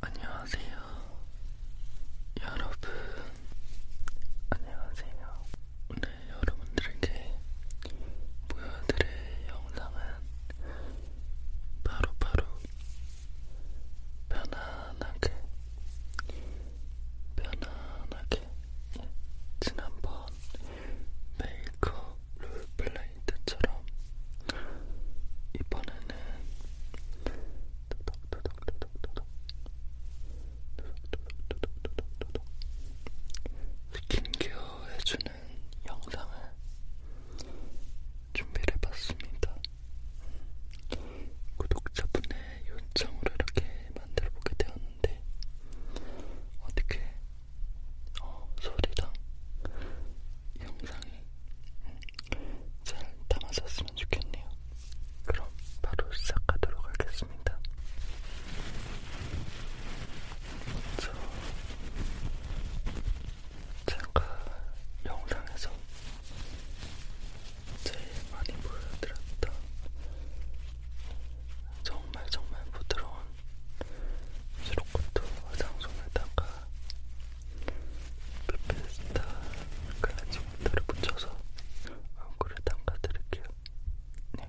안녕하세요. 여러분, 안녕하세요. 오늘 여러분들에게 보여드릴 영상은 바로바로 바로 편안하게, 편안하게 예, 지난번 메이크업 롤플레이 때처럼 이번에는 도둑도둑도둑도둑 도둑도둑도둑도둑 스킨케어 해주는 영상을 준비를 해봤습니다. 구독자분의 요청으로 이렇게 만들어보게 되었는데 어떻게 어, 소리랑 영상이 잘 담았었으면 좋겠네요. 그럼 바로 시작하도록 하겠습니다. 저 잠깐 영상에서 제일 많이 보여드렸던 정말 정말 부드러운 수록코트 화장솜에다가 페페스타 클렌징 워터를 묻혀서 얼굴에 담가드릴게요. 네.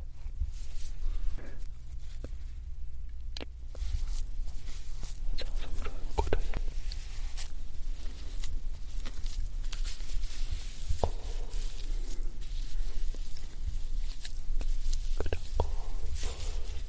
정성으로 얼굴을 그리고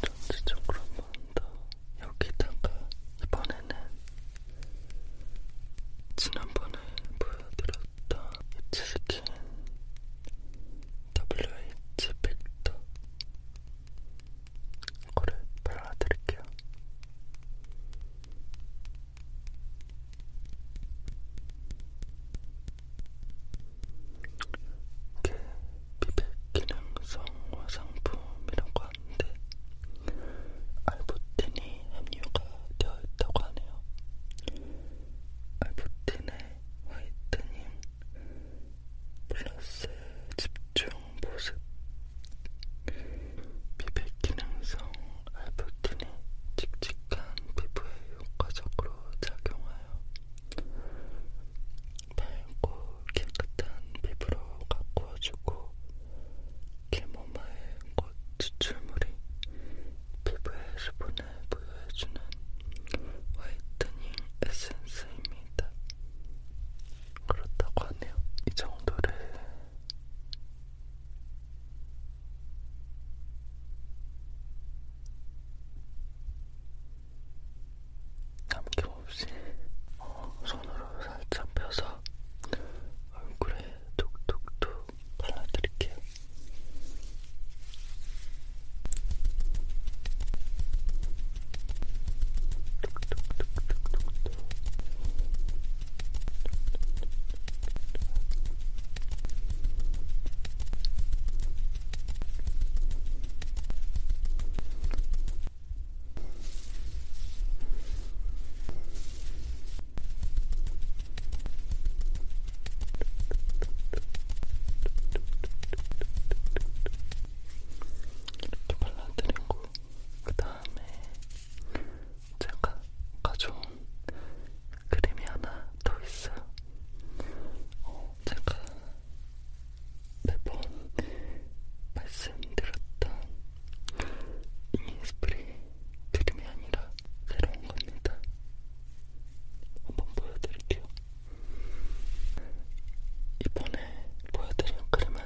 전체적으로 한번더 여기다가 이번에는 지난번에 보여드렸던 입체스킨 WH 팩터 이거를 발라드릴게요. 이게 피백기능성 화장품이라고 하는데 알부틴이 함유가 되어 있다고 하네요. 알부틴의 화이트닝 플러스 집중 보습 미백 기능성 알부틴이 칙칙한 피부에 효과적으로 작용하여 밝고 깨끗한 피부로 가꾸어주고 캐모마일 꽃 추출물이 피부에 수분을 부여해주는 화이트닝 에센스입니다. 그렇다고 하네요. 이 정도를 남김없이 어, 손으로 살짝 펴서 얼굴에 툭툭툭 발라드릴게요. 툭툭툭툭툭툭 이렇게 발라드리고 그 다음에 제가 가져온 그림이 하나 더 있어요. 어, 제가 매번 말씀드렸던 이니스프리 그림이 아니라 새로운 겁니다. 한번 보여드릴게요. 이번에 보여드린 그림은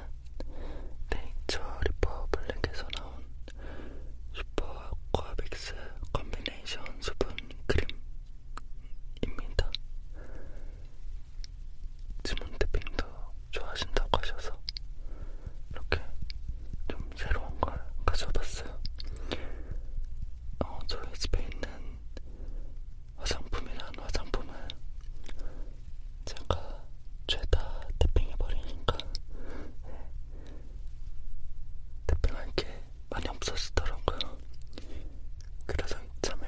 네이처 리퍼블랙에서 나온 슈퍼 아쿠아 믹스 컴비네이션 수분 크림입니다. 지몬트핑도 좋아하신다고 하셔서 이렇게 좀 새로운 걸 가져봤어요. 어, 저희 집에 있는 화장품이란 화장품을 제가 죄다 탭핑해버리니까 탭핑할 네. 게 많이 없어지더라고요. 그래서 이참에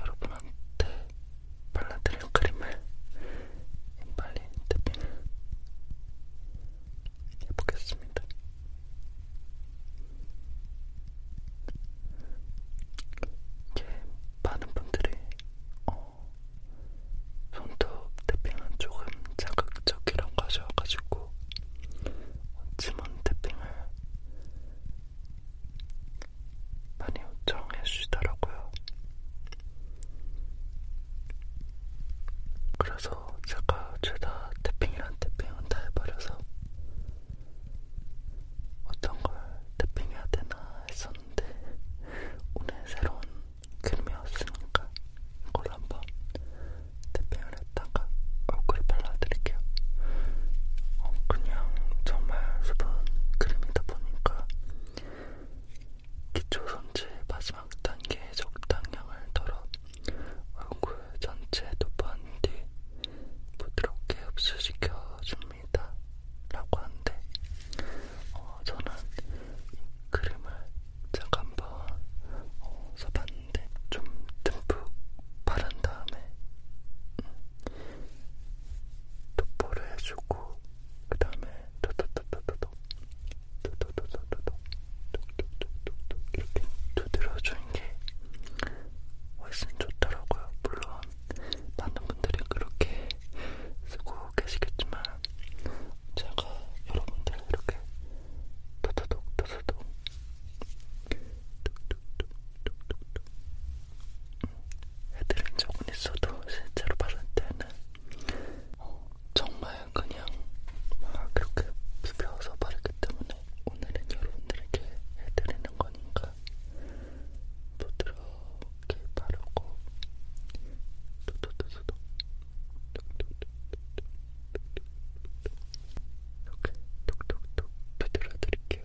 여러분한테 발라드릴 크림을 빨리 탭핑을 해보겠습니다. 이게 많은 분들이 어, 어, 손톱 태핑은 조금 자극적이라고 하셔가지고 지문 태핑을 많이 요청해 주시더라고요. 그래서 제가 죄다 태핑이란 태핑은 다 해버려서 어떤 걸 태핑해야 되나 했었는데 있었는데 오늘 새로운 크림이 왔으니까 이걸 한번 태핑을 했다가 얼굴에 발라드릴게요. 어, 그냥 정말 수분 크림이다 보니까 기초 손질 마지막 단계에 적당량을 덜어 얼굴 전체에 도포한 뒤 부드럽게 흡수시켜줍니다. 그림이다 라고 하는데 어, 저는 이 그림을 제가 한번 어, 써봤는데 좀 듬뿍 바른 다음에 음, 도포를 해주고 그 다음에 도도도도도도 도도도도도도 이렇게 두드려주는 게 훨씬 좋더라고요. 물론 많은 분들이 그렇게 쓰고 계시겠지만 제가 여러분들 이렇게 도도독 도도독 뚝뚝뚝뚝뚝 해드린 적은 있어도 실제로 받을 때는 어, 정말 그냥 막 그렇게 비벼서 바르기 때문에 오늘은 여러분들에게 해드리는 거니까 테니까 부드럽게 바르고 두두두두두 이렇게 톡톡톡 두드려 드릴게요.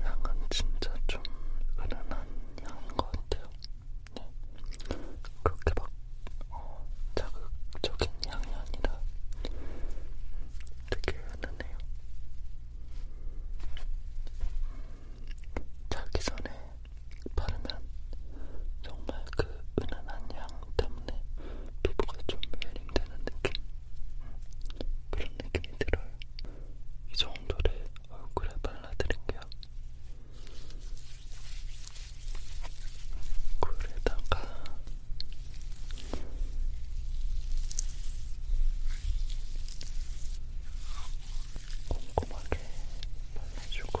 향은 진짜 좀 은은한 향인 것 같아요. 네. 그렇게 막 어, 자극적인 향이 아니라 되게 은은해요. 음, 자기 전에 바르면 정말 그 은은한 향 때문에 피부가 좀 힐링되는 느낌? 음, 그런 느낌이 들어요. 이 정도를 얼굴에 발라드릴게요. 얼굴에다가 꼼꼼하게 발라주고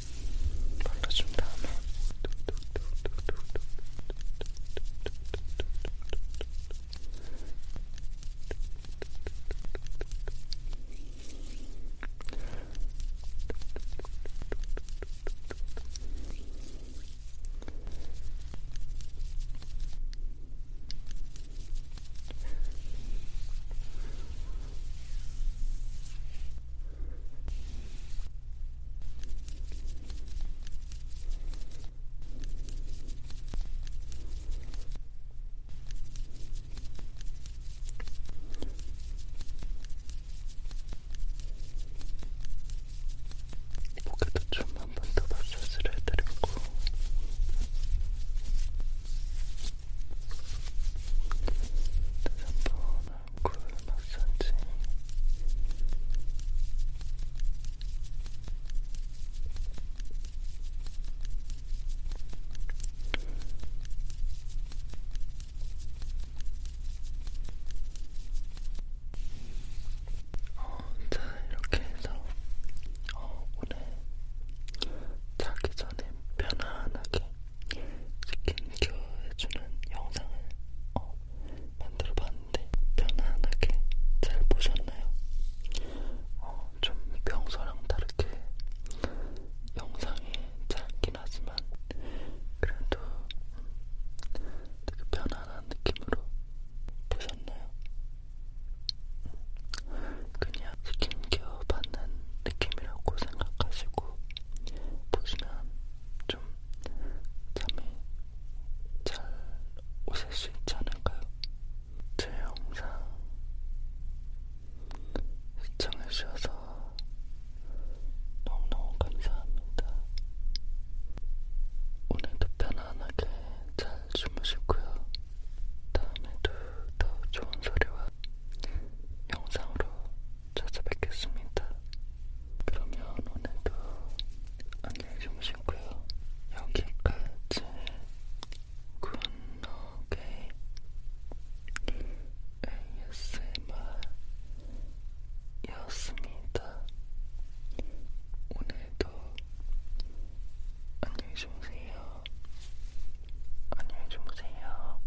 발라준 다음에 목에도 좀 한 번더 마사지를 해드리고 다시 한번 얼굴 마사지 어, 자, 이렇게 해서 어, 오늘 자기 전에 편안하게 스킨케어 해주는 영상을 어, 만들어 봤는데 편안하게 잘 보셨나요? 어, 좀 평소랑 다르게 영상이 짧긴 하지만 그래도 되게 편안한 느낌으로 보셨나요? 그냥 스킨케어 받는 느낌이라고 생각하시고 보시면 좀 잠이 잘 오실 수 있지 않을까요? 제 영상 시청해주셔서 너무너무 감사합니다. 오늘도 편안하게 잘 주무시고요. 다음에도 더 좋은 소리와 영상으로 찾아뵙겠습니다. 그러면 오늘도 안녕히 주무시고요. 여기까지 굿노게 ASMR였습니다. 오늘도 안녕히 주무세요. 안녕히 주무세요.